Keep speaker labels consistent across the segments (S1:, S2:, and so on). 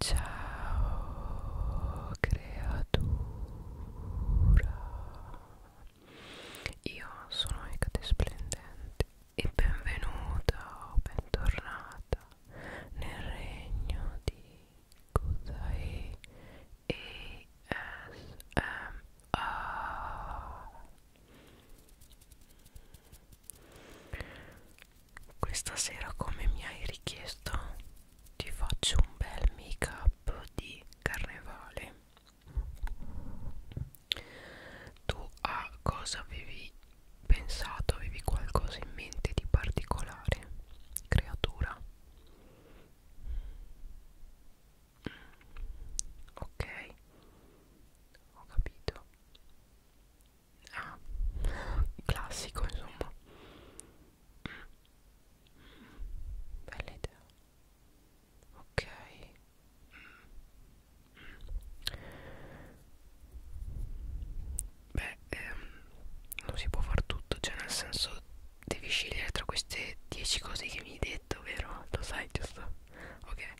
S1: Ciao creatura, io sono Ecate Splendente e benvenuta o bentornata nel regno di Kudai ASMR questa sera come mi hai richiesto ti faccio un bel make up di carnevale tu a cosa avevi pensato avevi qualcosa in mente di particolare creatura ok ho capito ah, classico insomma bella idea ok beh ehm, non si può far tutto cioè nel senso devi scegliere tra queste 10 cose che mi hai detto vero lo sai giusto ok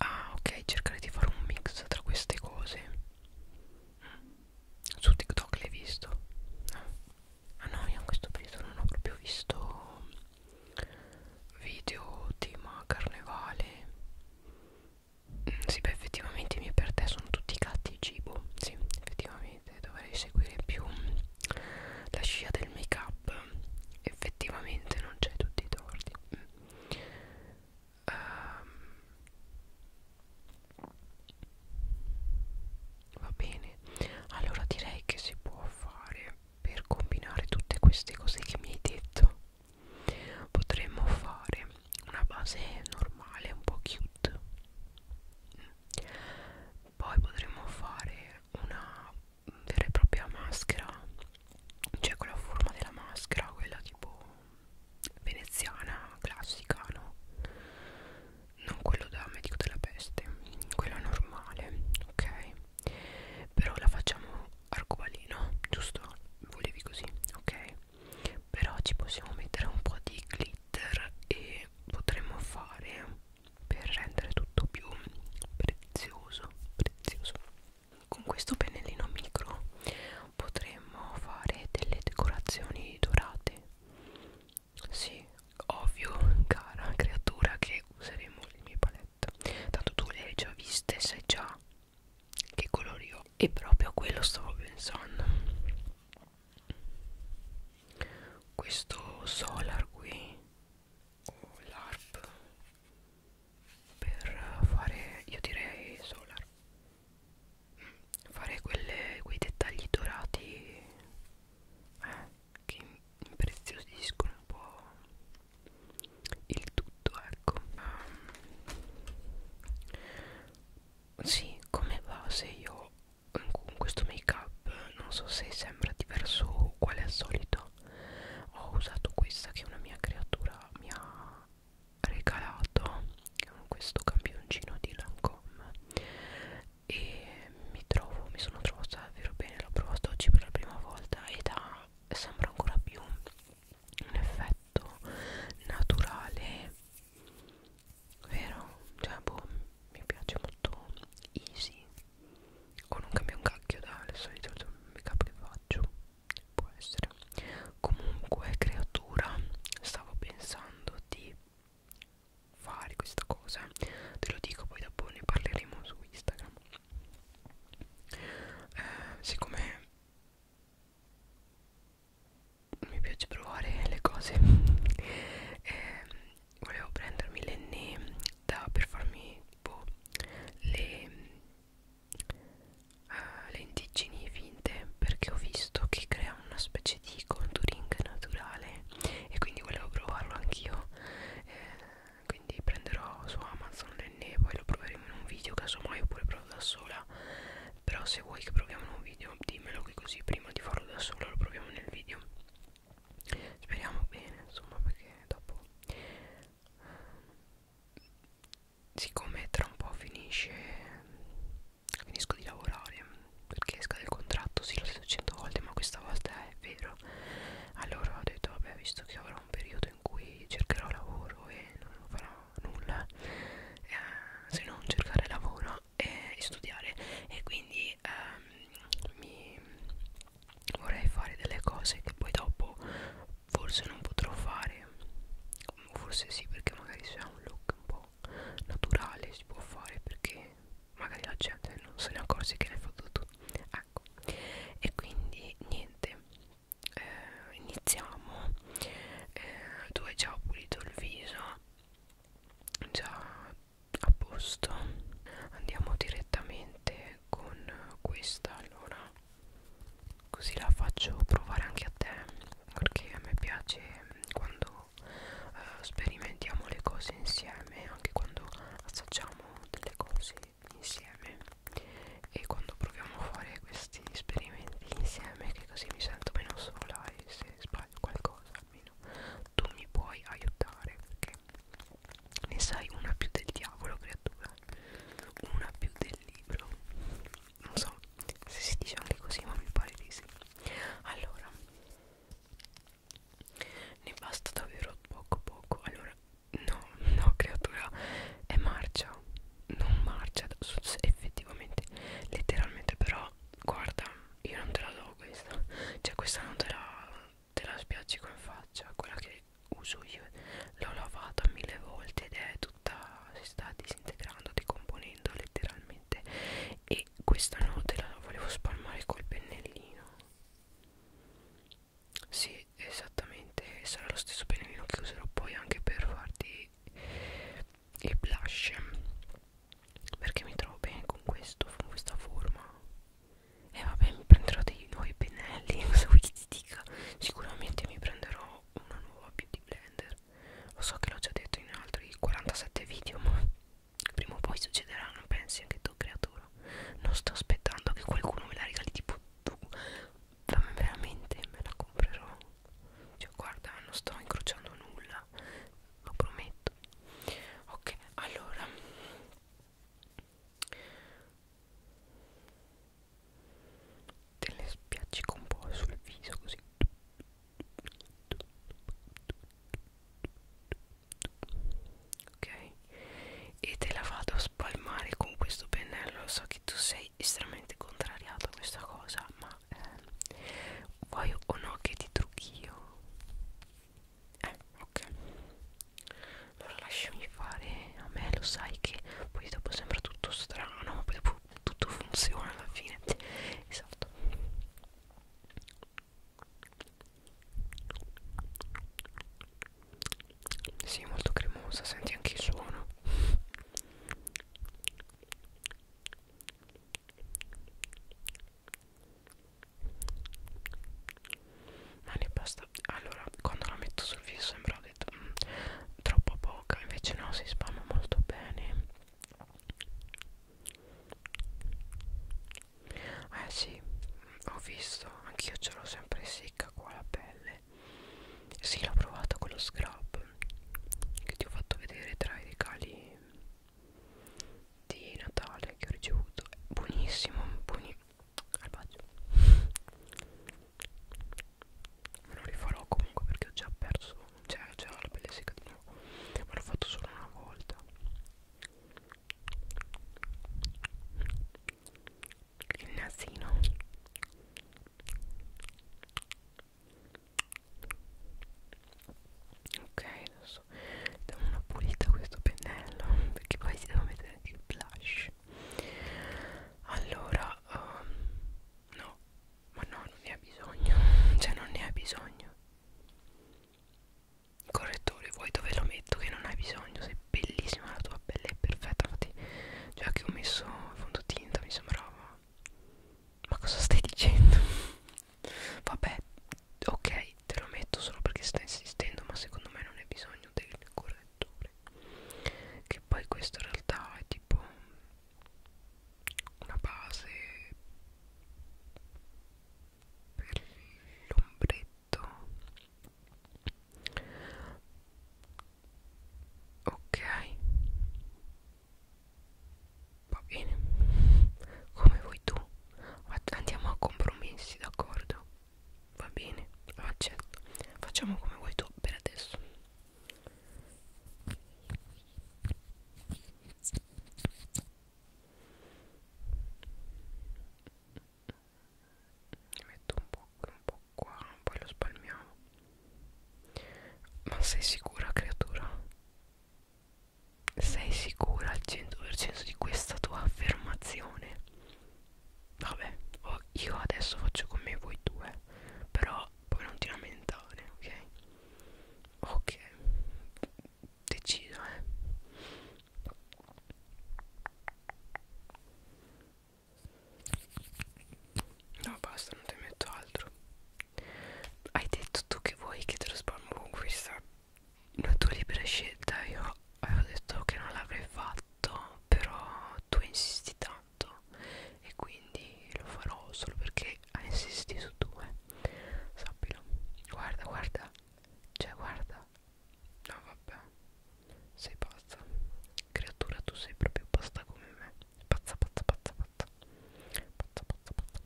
S1: Ah ok cercare di fare un mix tra queste cose mm. Su TikTok l'hai visto? No Ah no io in questo periodo non ho proprio visto video tema carnevale mm, Sì beh effettivamente i miei per te sono tutti gatti e cibo Sì effettivamente dovrei seguire più la scia del make up effettivamente non c'è tutti i torti mm um, va bene allora direi che si può fare per combinare tutte queste cose che mi hai detto potremmo fare una base normale un po' cute poi potremmo fare una vera e propria maschera c'è quella forma della maschera quella tipo veneziana classica no non quello da medico della peste quello normale ok però la facciamo arcobaleno giusto volevi così ok però ci possiamo mettere un po' di glitter e potremmo fare per rendere tutto più prezioso prezioso con questo pennellino micro potremmo fare delle decorazioni dorate sì ovvio cara creatura che useremo le mie palette tanto tu le hai già viste sai già che colori ho e proprio a quello stavo pensando questo solar qui o oh, l'arp per fare io direi solar mm, fare quelle, quei dettagli dorati eh, che impreziosiscono un po' il tutto ecco um, sì come base io mm, con questo make up non so se sembra diverso uguale al solito ho usato questa che è una mia creatura mia regalato questo campioncino di Lancome e mi trovo mi sono trovata davvero bene l'ho provato oggi per la prima volta ed ha sembra ancora più un effetto naturale vero cioè boh mi piace molto easy o non cambia un cacchio dalle solite cioè, make up che faccio può essere comunque creatura stavo pensando di fare questa cosa te lo dico poi dopo ne parleremo su Instagram eh, siccome mi piace provare le cose eh, volevo prendermi l'enne da per farmi tipo boh, le uh, eh, lentiggini finte perché ho visto che crea una specie di contouring naturale e quindi volevo provarlo anch'io eh, quindi prenderò su Amazon l'enne poi lo proveremo in un video casomai oppure provo da sola però se vuoi che proviamo in un video dimmelo qui così prima di farlo da sola lo proviamo nel video speriamo bene insomma perché dopo siccome tra un po' finisce finisco di lavorare perché scade il contratto sì l'ho detto cento volte ma questa volta è vero allora ho detto vabbè visto che avrò un periodo in cui cercherò lavoro e non farò nulla eh, se non cercare lavoro e studiare e quindi ehm, mi vorrei fare delle cose che poi dopo forse non potrò fare forse sì perché magari se ha un look un po' naturale si può fare perché magari la gente non se ne accorge che ne fa tutto ecco e quindi niente eh, iniziamo eh, tu hai già pulito il viso già a posto andiamo direttamente con questa allora così la faccio provare anche a te perché a me piace quando eh, sperimentiamo le cose insieme anche quando assaggiamo delle cose insieme e quando proviamo a fare questi esperimenti insieme che così mi sento meno sola e se sbaglio qualcosa almeno tu mi puoi aiutare perché ne sai una più del diavolo creatura una più del libro non so se si dice anche così ma mi pare di sì allora ne basta davvero poco poco allora no no creatura è marcia non marcia effettivamente letteralmente però guarda io non te la do questa cioè questa non te la te la spiaggi con faccia quella che uso io l'ho lavata mille volte ed è tutta si sta disintegrando decomponendo letteralmente e questa notte la volevo spalmare col pennellino sì esattamente sarà lo stesso pennellino che userò poi anche per farti il blush perché mi trovo bene con questo con questa forma e eh, vabbè mi prenderò dei nuovi pennelli non so chi stick sicuramente mi prenderò una nuova beauty blender lo so che l'ho già detto in altri 47 video ma prima o poi succederà non pensi anche tu creatore non sto aspettando che qualcuno me la regali tipo tu ma veramente me la comprerò cioè guarda non sto incrociando nulla lo prometto ok allora te le spiacci un po' sul viso così ok e te la vado a spalmare con questo pennello so che tu sei estremamente contrariato a questa cosa ma eh, vuoi o no che ti trucchi io eh ok allora lasciami fare a me lo sai che poi dopo sembra tutto strano ma poi dopo tutto funziona alla fine esatto si sì, molto cremosa senti anche il suono ma ah, ne basta allora quando la metto sul viso sembra ho detto mm, troppo poca invece no si spalma molto bene eh sì mm, ho visto anch'io ce l'ho sempre secca qua la pelle sì l'ho provato con lo scrub che ti ho fatto vedere tra i regali di Natale che ho ricevuto buonissimo buoni Arbaggio. Me lo rifarò comunque perché ho già perso, cioè già la pelle secca di nuovo, ma l'ho fatto solo una volta. Il nasino. Ok, adesso diamo una pulita a questo pennello perché poi si deve mettere anche il blush allora um, no ma no non ne ha bisogno cioè non ne ha bisogno il correttore vuoi dove lo metto che non hai bisogno sei bellissima la tua pelle è perfetta infatti già che ho messo il fondotinta mi sembrava ma cosa stai dicendo vabbè ok te lo metto solo perché stai insistendo ma secondo me non hai bisogno del correttore che poi questo in realtà è tipo una base per l'ombretto ok va bene come vuoi tu andiamo a compromessi d'accordo va bene lo accetto facciamo come vuoi tu per adesso ne metto un po' qui, un po' qua, poi lo spalmiamo. Ma sei sicura, creatura? Sei sicura al 100% di questa tua affermazione? Vabbè, oh, io adesso faccio come voi due, però poi non ti lamentare, ok? Ok, decido, eh. No, basta, non ti metto altro. Hai detto tu che vuoi che te lo spammo con questa una tua libera scelta, io avevo detto che non l'avrei fatto fatto però tu insisti tanto e quindi lo farò solo perché hai insistito tu eh. sappilo guarda guarda cioè guarda no vabbè sei pazza creatura tu sei proprio pazza come me pazza pazza pazza pazza pazza pazza pazza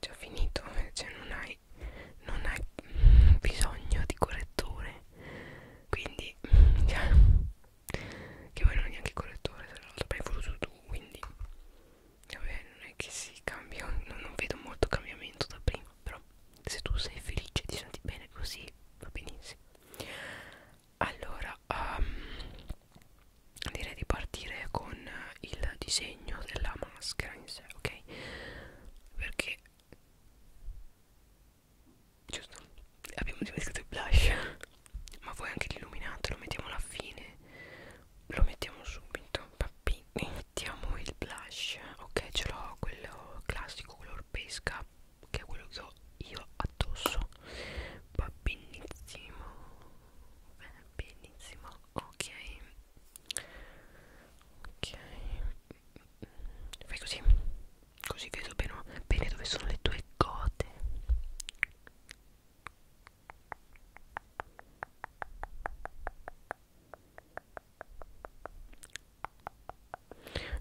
S1: Già finito, eh, cioè non hai, non hai bisogno di correttore. Quindi, cioè, che voi non è neanche correttore, se lo hai voluto tu, quindi, vabbè, non è che si cambia, non, non vedo molto cambiamento da prima però se tu sei felice e ti senti bene così va benissimo allora um, direi di partire con il disegno della maschera in sé ok perché giusto abbiamo dimenticato il blush ma vuoi anche l'illuminato lo mettiamo alla fine lo mettiamo subito pappini mettiamo il blush ok ce l'ho quello classico color pesca che è quello che ho io addosso va benissimo va benissimo ok ok fai così così vedo bene, bene dove sono le tue gote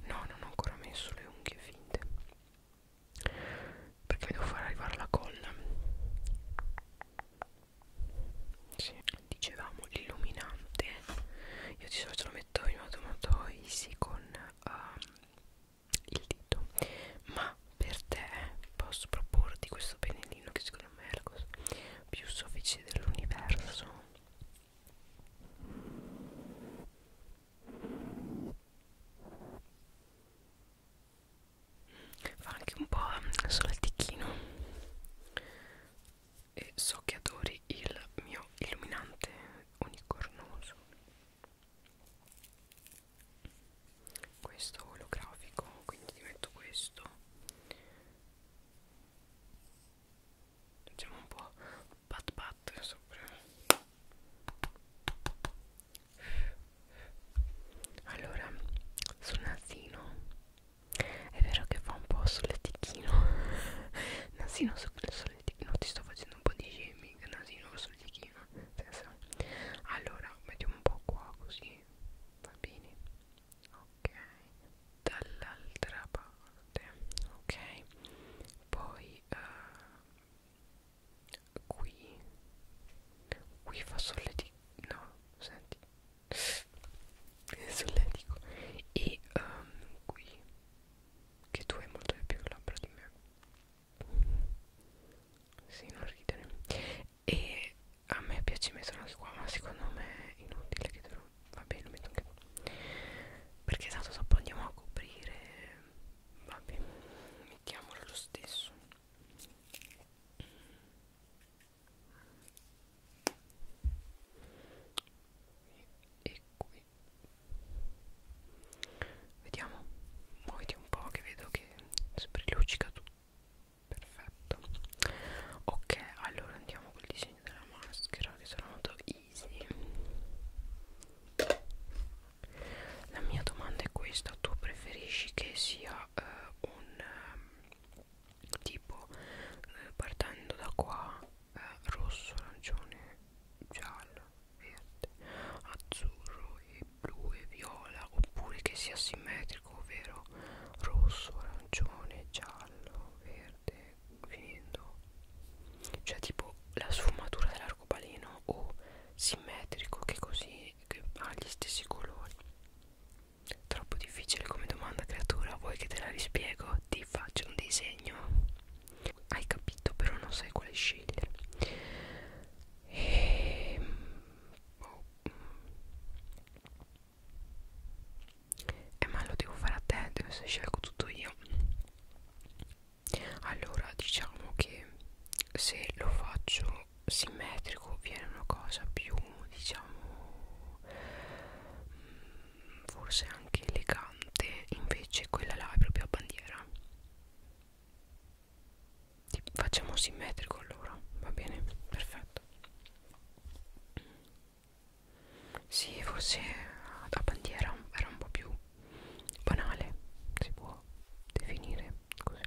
S1: No, non ho ancora messo le unghie finte perché mi devo far arrivare la colla. Sì, dicevamo l'illuminante. Io di solito lo metto in automatoisi con uh, il dito, ma per te posso proporti questo pennellino che secondo Mercos più soffici dell'universo fa anche un po' solattichino e so che adori il mio illuminante unicornoso questo olografico quindi ti metto questo facciamo un po' pat pat sopra allora sul nasino è vero che fa un po' solletichino nasino solletichino ti sto facendo un po' di shaming nasino solletichino allora mettiamo un po' qua così va bene ok dall'altra parte ok poi uh, qui qui fa solletico no senti solletico e um, qui che tu hai molto di più labbra di me sì, non ridere e a me piace metterlo anche qua ma secondo me è inutile che te lo vabbè lo metto anche qua perché tanto esatto, dopo andiamo a coprire vabbè mettiamolo lo stesso e qui vediamo muoviti un po' che vedo che sprelucica tutto perfetto ok allora andiamo col disegno della maschera che sarà molto easy la mia domanda è questa tu preferisci che sia eh, un eh, tipo eh, partendo da qua eh, rosso arancione giallo verde azzurro e blu e viola oppure che sia simmetrico ovvero rosso, rosso, arancione, giallo, verde, finendo cioè tipo la sfumatura dell'arcobaleno o simmetrico che così che ha gli stessi colori troppo difficile come domanda creatura vuoi che te la rispiego ti faccio un disegno hai capito però non sai quale scegliere e... Ehm, oh. Mm eh ma lo devo fare a te se scelgo tutto io allora diciamo che se lo faccio simmetrico viene una cosa più diciamo mm, forse anche elegante invece quella là è proprio a bandiera facciamo simmetrico allora va bene perfetto sì, forse la bandiera era un po' più banale, si può definire così.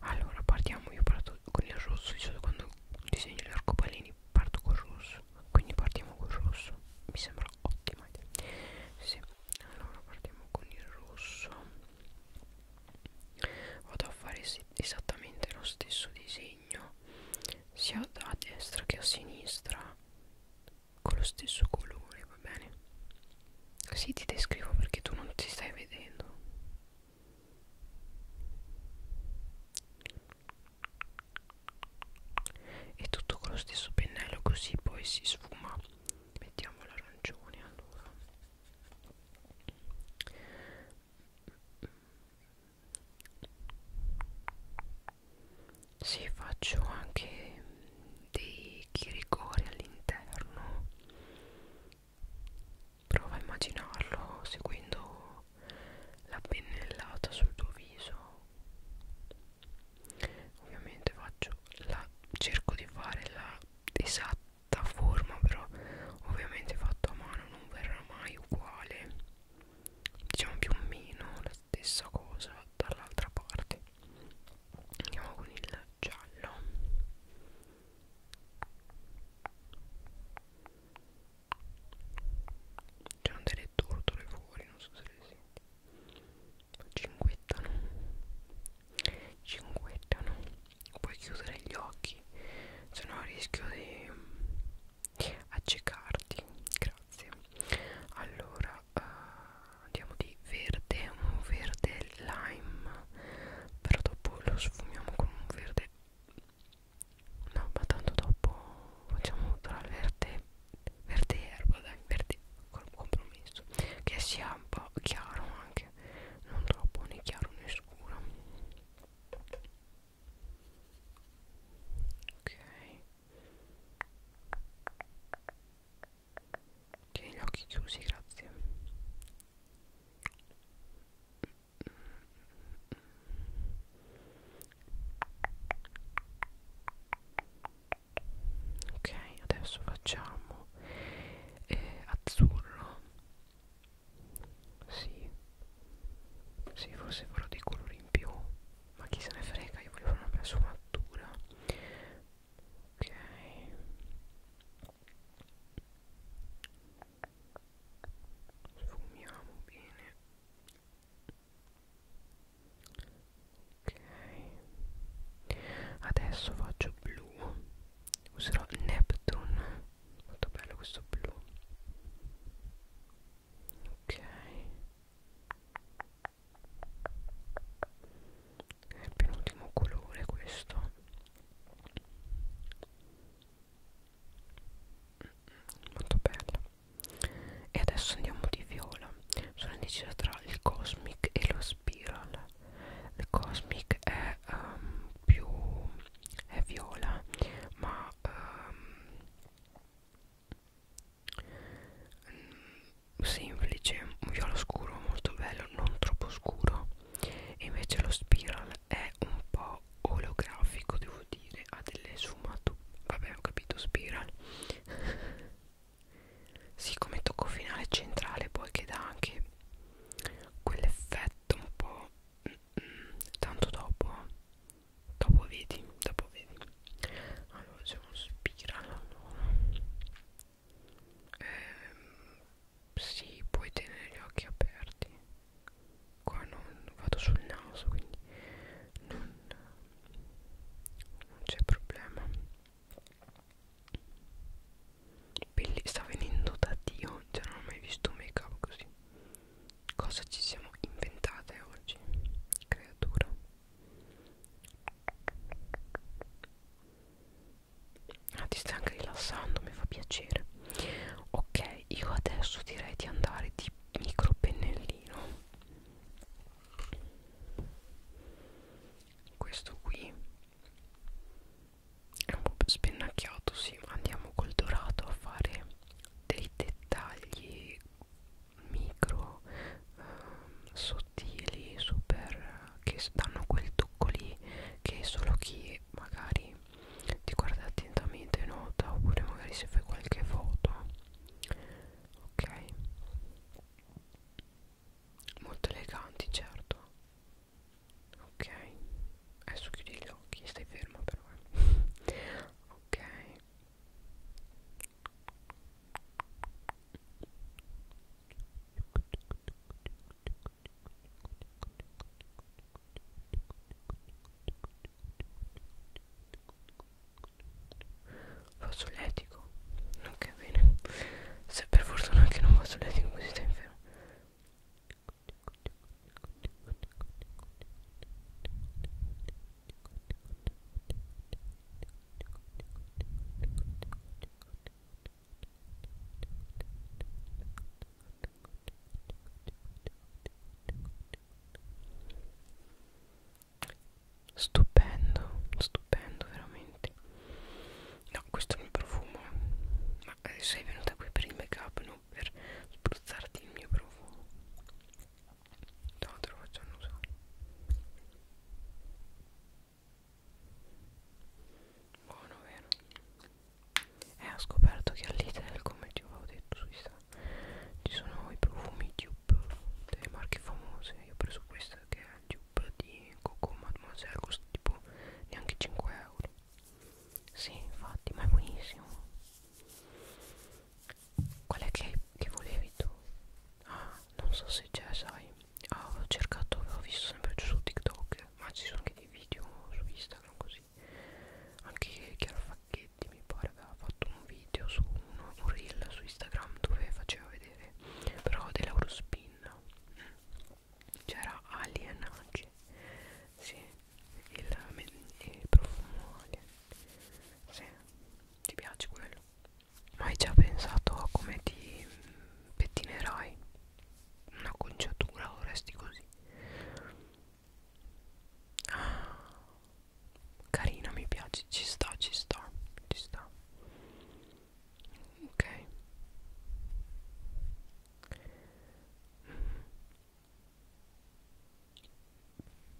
S1: Allora, partiamo, io parto con il rosso, diciamo quando disegno gli arcobaleni parto col rosso, quindi partiamo col rosso, mi sembra ottima idea. Sì, allora partiamo con il rosso. Vado a fare sì esattamente lo stesso disegno sia a destra che a sinistra con lo stesso colore va bene così ti descrivo perché tu non ti stai vedendo e tutto con lo stesso pennello così poi si sfuma mettiamo l'arancione allora sì, faccio anche dei chiricori all'interno. Prova a immaginarlo seguendo la pennellata sul tuo viso. Ovviamente faccio la cerco di fare la esatta forma però ovviamente fatto a mano non verrà mai uguale diciamo più o meno la stessa cosa dall'altra parte andiamo con il giallo c'erano delle tortole fuori non so se le senti cinguettano cinguettano puoi chiudere gli occhi se no rischio di mm, accecarti grazie allora uh, eh, andiamo di verde un verde lime però dopo lo sfumiamo con un verde no ma tanto dopo facciamo tra il verde verde erba dai verde con compromesso che sia un po' chiaro anche non troppo né chiaro né scuro ok tieni gli occhi chiusi grazie ok adesso facciamo eh, azzurro sì Sì forse farò dei colori in più Ma chi se ne frega Io voglio fare una bella sfumatura Ok Sfumiamo bene Ok Adesso faccio blu Userò Neptune molto bello questo blu ok è il penultimo colore questo molto bello e adesso andiamo di viola sono indecisa tra il cosmic e lo spiral The Cosmic è um, più è viola ma um, semplice un viola scuro molto bello non troppo scuro e invece lo spiral è un po' oleografico devo dire ha delle sfumature vabbè ho capito spiral sì come tocco finale centrale poi che dà anche quell'effetto letto ma poi mm, tanto dopo dopo vedi dopo vedi allora c'è uno spiral allora. eh, sì puoi tenere gli occhi aperti qua non vado sul naso quindi non, non c'è problema Belli, sta venendo da Dio, cioè non ho mai visto un make up così. Cosa ci siamo inventate oggi, creatura? Ah, ti stai anche rilassando, mi fa piacere. Ok, io adesso direi di andare di micro pennellino. Questo qui è un po' spennacchiato sì ma andiamo col dorato a fare dei dettagli micro ehm, sottili super che danno quel tocco lì che solo chi magari ti guarda attentamente nota oppure magari se fai qualche foto ok molto eleganti certo ok adesso chiudi gli occhi stai ferma però eh. ok Faccio letico? Ok, bene. Se per fortuna che non faccio letico così stai infermo. Stupendo, stupendo veramente scusate no questo è il mio profumo ma eh, sei venuta qui per il make up non per spruzzarti il mio profumo no te lo faccio annusare buono vero e eh, ho scoperto che all'Ital come ti avevo detto su Instagram ci sono i profumi dupe delle marche famose io ho preso questo che è il dupe di Coco Mademoiselle costa tipo neanche 5 euro sì, infatti, ma è buonissimo. Qual è che, che volevi tu? Ah, non so se c'è, sai. Ah, ho cercato, avevo visto sempre su TikTok, ma ci sono anche dei video su Instagram così. Anche Chiara Facchetti mi pare aveva fatto un video su uno, un reel su Instagram dove faceva vedere però dell'Eurospin. Mm c'era Alien oggi sì il, il profumo Alien sì ti piace quello ma hai già pensato a come ti pettinerai una conciatura o resti così ah, carina mi piace ci sta ci sta ci sta ok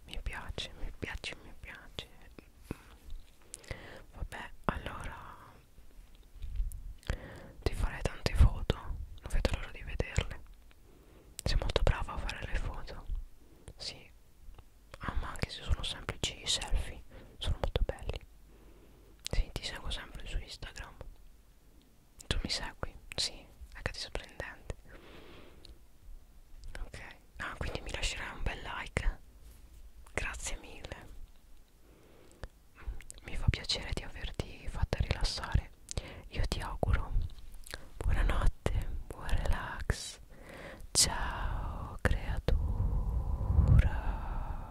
S1: mi piace mi piace mi piace vabbè allora ti farei tante foto non vedo l'ora di vederle sei molto brava a fare le foto sì ah ma anche se sono semplici selfie sono molto belli sì, ti seguo sempre su Instagram. Tu mi segui? Sì, è che ti sorprendente. Ok. Ah, quindi mi lascerai un bel like. Grazie mille. Mi fa piacere di averti fatta rilassare. Io ti auguro buonanotte, buon relax. Ciao creatura.